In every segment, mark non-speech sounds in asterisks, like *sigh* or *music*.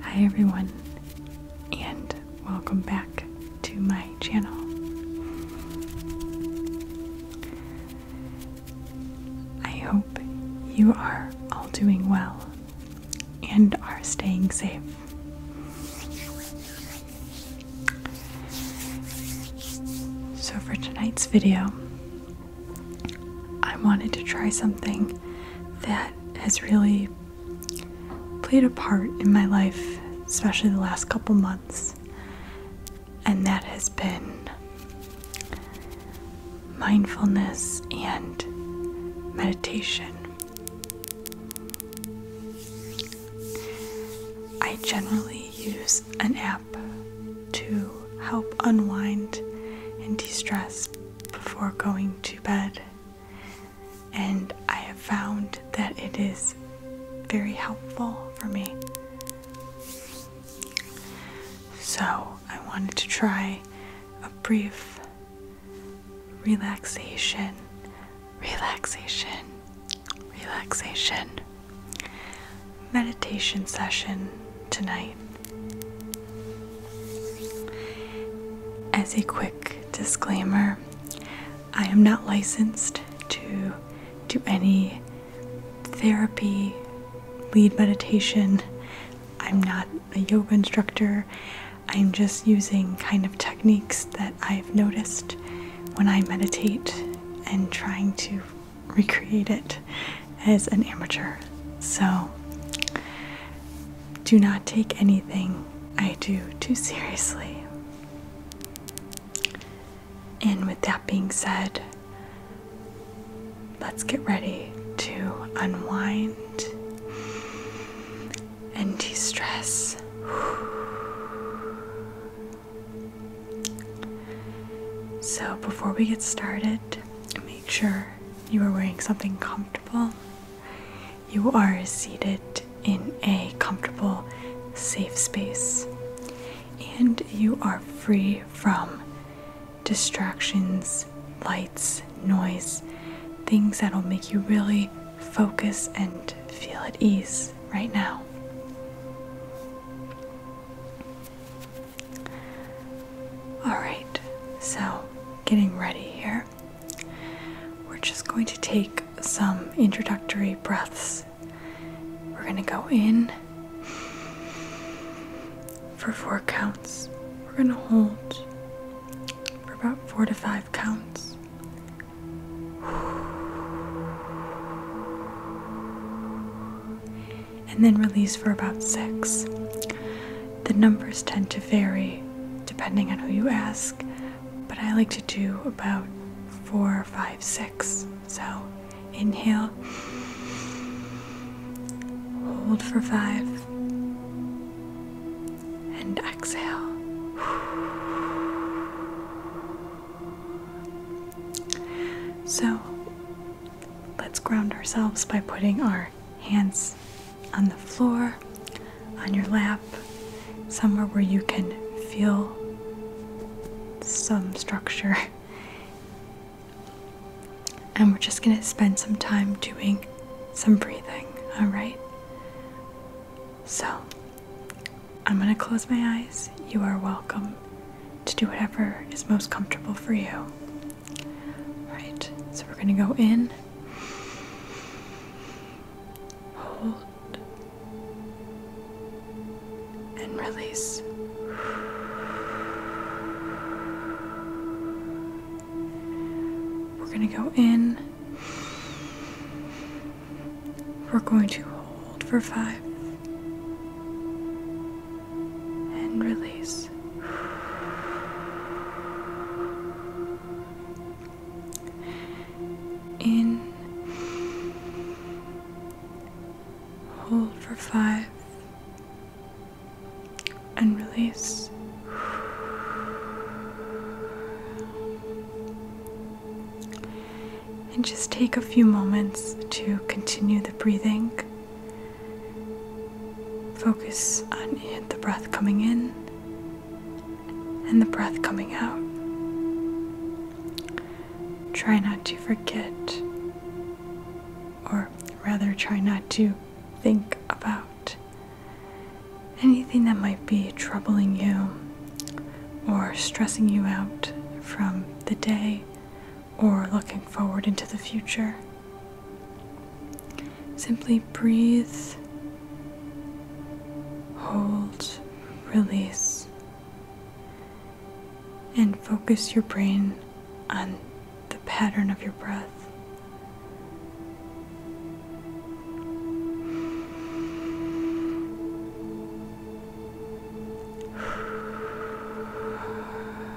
Hi everyone, and welcome back to my channel. I hope you are all doing well and are staying safe. So, for tonight's video, I wanted to try something that has really played a part in my life, especially the last couple months, and that has been mindfulness and meditation. I generally use an app to help unwind and de stress before going to bed. And I have found that it is very helpful for me. So I wanted to try a brief relaxation, relaxation, relaxation meditation session tonight. As a quick disclaimer, I am not licensed to do any therapy, lead meditation. I'm not a yoga instructor. I'm just using kind of techniques that I've noticed when I meditate and trying to recreate it as an amateur. So do not take anything I do too seriously. And with that being said, let's get ready to unwind and de stress. So, before we get started, make sure you are wearing something comfortable. You are seated in a comfortable, safe space, and you are free from distractions, lights, noise, things that'll make you really focus and feel at ease right now. Alright, so getting ready here. We're just going to take some introductory breaths. We're going to go in for four counts. We're going to hold for about four to five counts and then release for about six. The numbers tend to vary depending on who you ask, but I like to do about four, five, six. So inhale, hold for five, and exhale. So, let's ground ourselves by putting our hands on the floor, on your lap, somewhere where you can feel some structure. *laughs* And we're just going to spend some time doing some breathing, all right? So, I'm going to close my eyes. You are welcome to do whatever is most comfortable for you. All right, so we're going to go in. Hold and release. We're going to go in. We're going to hold for five, and release. In, hold for five, and release. And just take a few moments to continue the breathing. Focus on the breath coming in and the breath coming out. Try not to forget, or rather, try not to think about anything that might be troubling you or stressing you out from the day or looking forward into the future. Simply breathe, hold, release, and focus your brain on the pattern of your breath.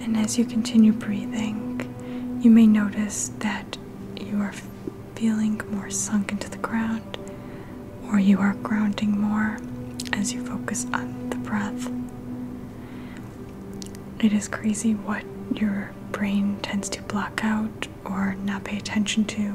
And as you continue breathing, you may notice that you are feeling more sunk into the ground or you are grounding more as you focus on the breath. It is crazy what your brain tends to block out or not pay attention to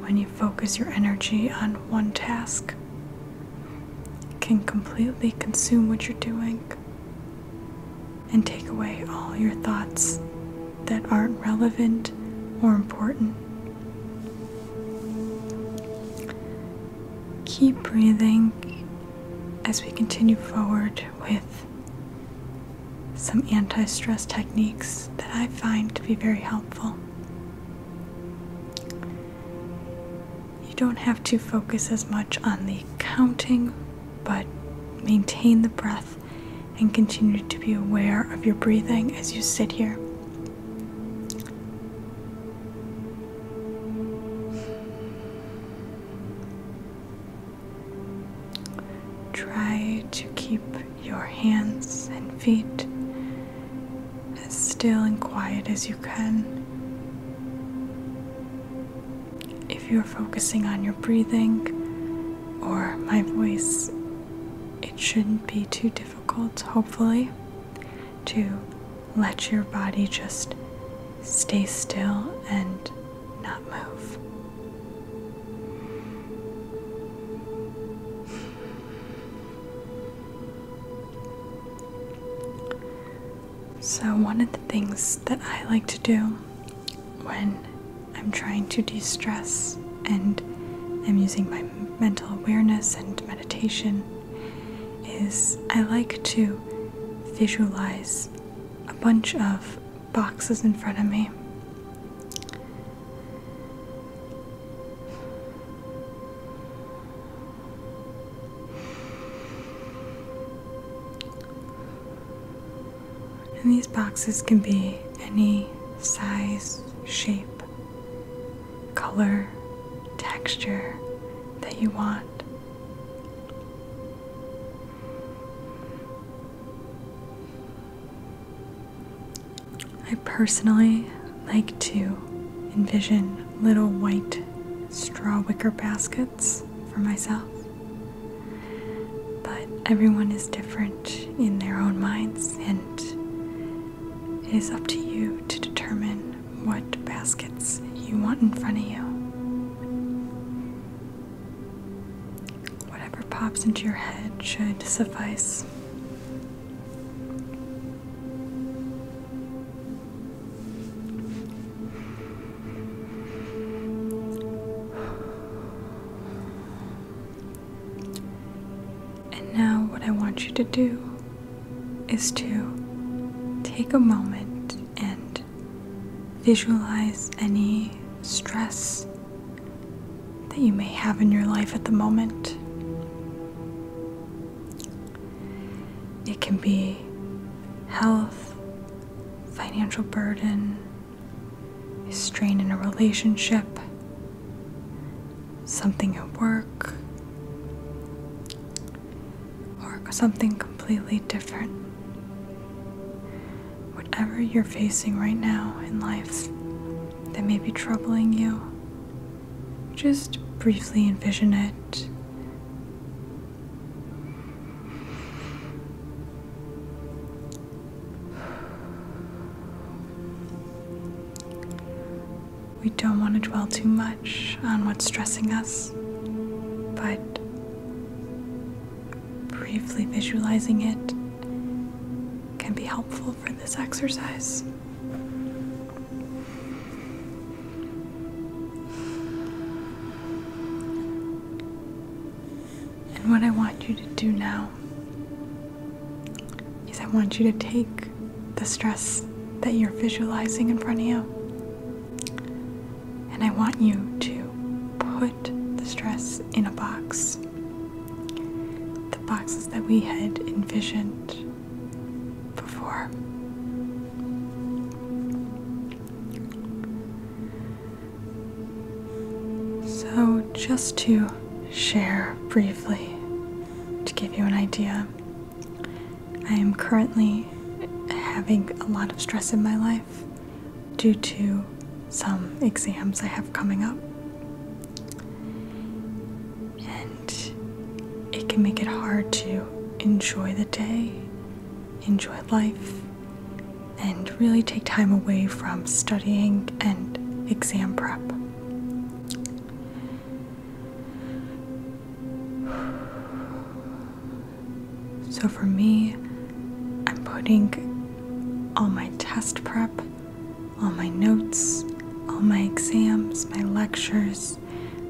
when you focus your energy on one task can completely consume what you're doing and take away all your thoughts that aren't relevant or important. Keep breathing as we continue forward with some anti stress techniques that I find to be very helpful you don't have to focus as much on the counting, but maintain the breath and continue to be aware of your breathing as you sit here. Try to keep your hands and feet as still and quiet as you can. If you're focusing on your breathing or my voice, it shouldn't be too difficult, hopefully, to let your body just stay still and not move. So, one of the things that I like to do when I'm trying to de stress and I'm using my mental awareness and meditation is I like to visualize a bunch of boxes in front of me. And these boxes can be any size, shape, color, texture that you want. I personally like to envision little white straw wicker baskets for myself. But everyone is different in their own minds, and it is up to you to determine what baskets you want in front of you. Whatever pops into your head should suffice. And now, what I want you to do is to take a moment and visualize any stress that you may have in your life at the moment. It can be health, financial burden, strain in a relationship, something at work, or something completely different. Whatever you're facing right now in life that may be troubling you, just briefly envision it we don't want to dwell too much on what's stressing us, but briefly visualizing it can be helpful for this exercise. And what I want you to do now is I want you to take the stress that you're visualizing in front of you. And I want you to put the stress in a box. The boxes that we had envisioned before. So, just to share briefly, to give you an idea, I am currently having a lot of stress in my life due to some exams I have coming up. And it can make it hard to enjoy the day enjoy life, and really take time away from studying and exam prep. So, for me, I'm putting all my test prep, all my notes, all my exams, my lectures,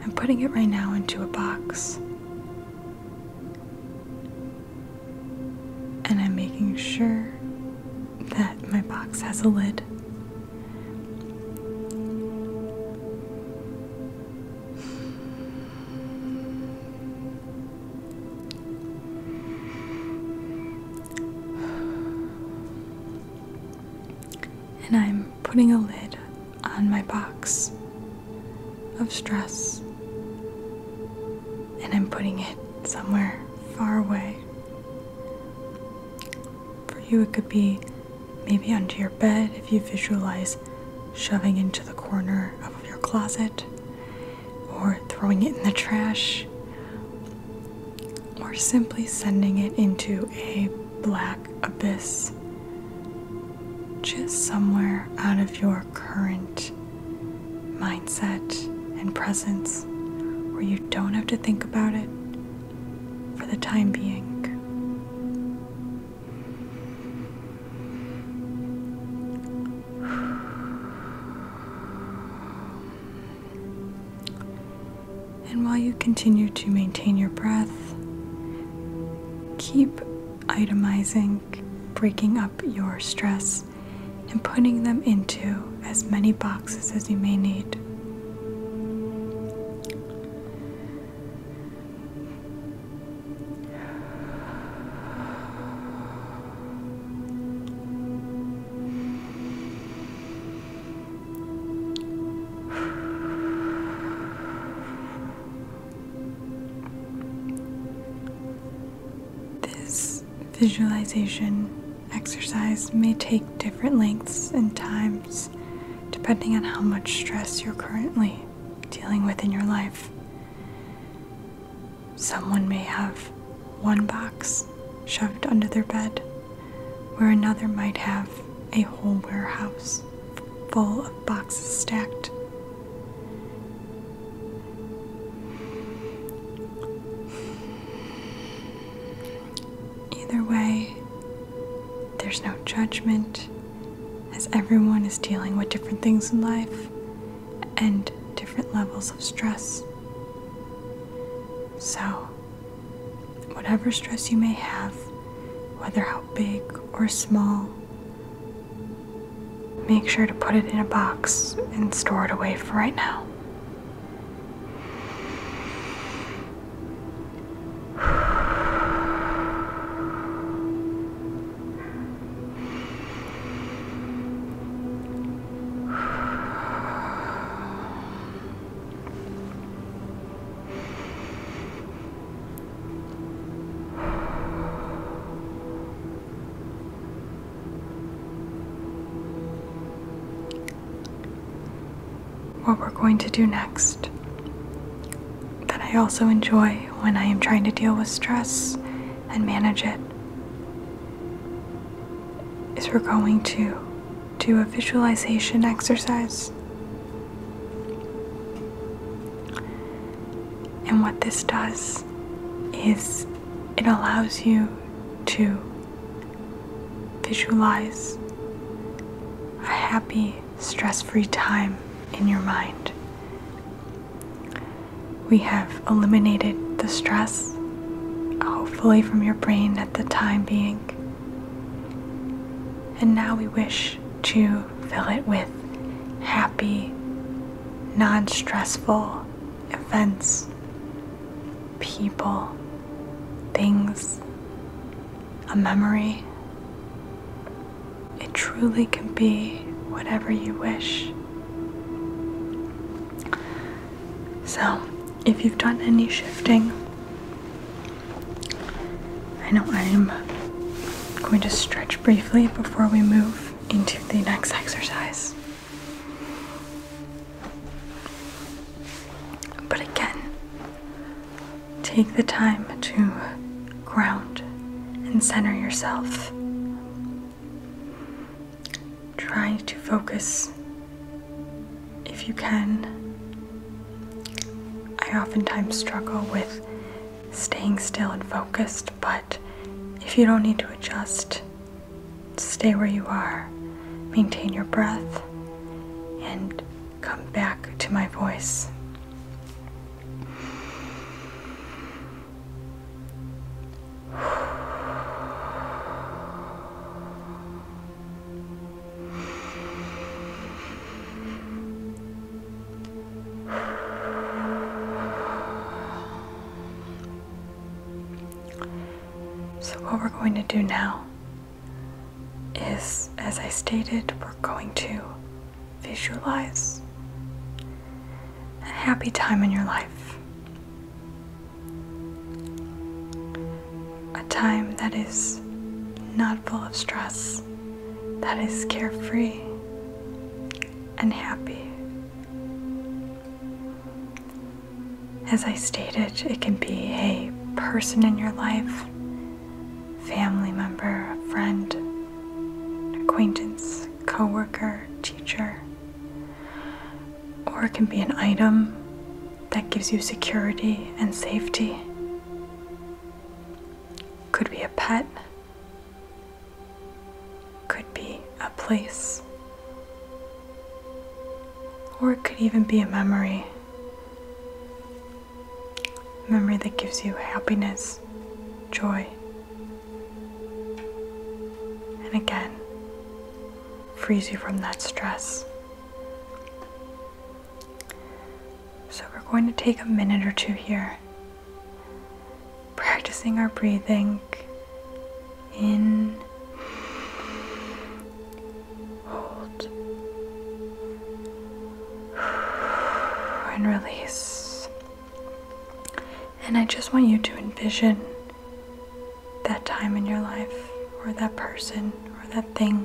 I'm putting it right now into a box. And I'm making sure that my box has a lid. And I'm putting a lid on my box of stress, and I'm putting it somewhere far away. For you, it could be maybe under your bed if you visualize shoving into the corner of your closet, or throwing it in the trash, or simply sending it into a black abyss, just somewhere out of your current mindset and presence where you don't have to think about it for the time being. And while you continue to maintain your breath, keep itemizing, breaking up your stress, and putting them into as many boxes as you may need. This visualization exercise may take different lengths and times depending on how much stress you're currently dealing with in your life. Someone may have one box shoved under their bed, where another might have a whole warehouse full of boxes stacked. Either way, there's no judgment as everyone is dealing with different things in life and different levels of stress. So, whatever stress you may have, whether how big or small, Make sure to put it in a box and store it away for right now. What we're going to do next, that I also enjoy when I am trying to deal with stress and manage it, is we're going to do a visualization exercise. And what this does is it allows you to visualize a happy, stress free time in your mind. We have eliminated the stress, hopefully, from your brain at the time being. And now we wish to fill it with happy, non stressful events, people, things, a memory. It truly can be whatever you wish. So, if you've done any shifting, I know I am going to stretch briefly before we move into the next exercise. But again, take the time to ground and center yourself. Try to focus if you can. I oftentimes struggle with staying still and focused, but if you don't need to adjust, stay where you are, maintain your breath, and come back to my voice. So, what we're going to do now is, as I stated, we're going to visualize a happy time in your life. A time that is not full of stress, that is carefree, and happy. As I stated, it can be a person in your life, family member, friend, acquaintance, co-worker, teacher, or it can be an item that gives you security and safety. Could be a pet, could be a place, or it could even be a memory. memory that gives you happiness, joy. And again, frees you from that stress. So, we're going to take a minute or two here practicing our breathing in, hold, and release. And I just want you to envision that time in your life, or that person, or that thing,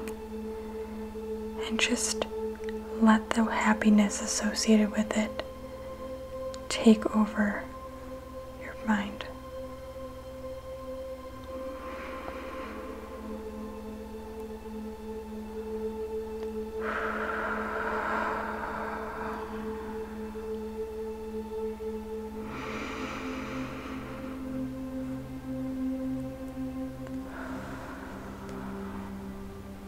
and just let the happiness associated with it take over your mind.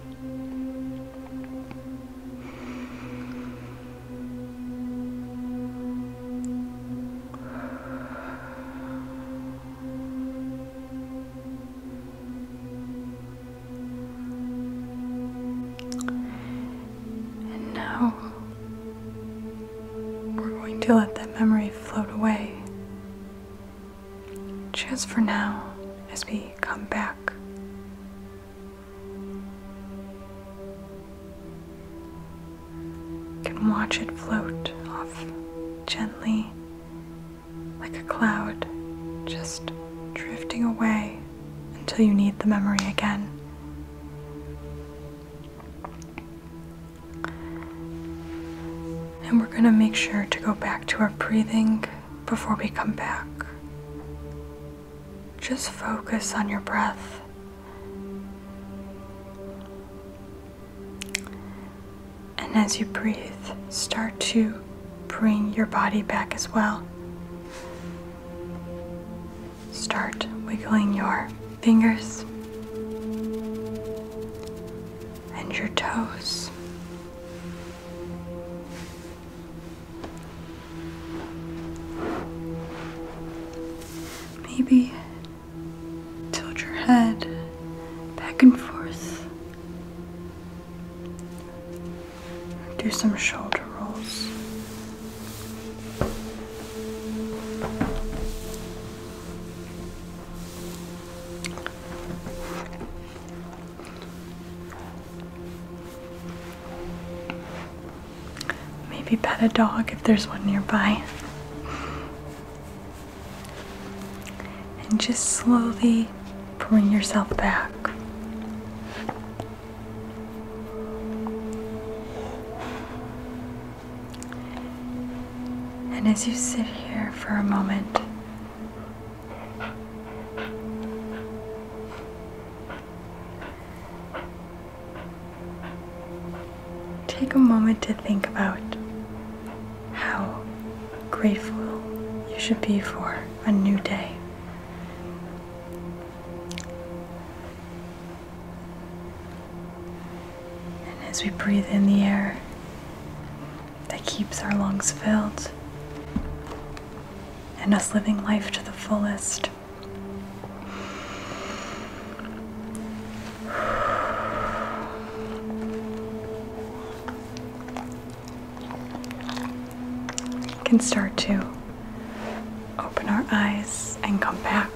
And now we're going to let that memory float away. Just for now, as we come back. You can watch it float off gently like a cloud, just drifting away until you need the memory again. And we're going to make sure to go back to our breathing before we come back. Just focus on your breath. And as you breathe, start to bring your body back as well. Start wiggling your fingers and your toes Maybe tilt your head back and forth. Do some shoulder rolls. Maybe pet a dog if there's one nearby. And just slowly bring yourself back. And as you sit here for a moment, Take a moment to think about how grateful you should be for a new day. And as we breathe in the air that keeps our lungs filled, and us living life to the fullest. can start to open our eyes and come back.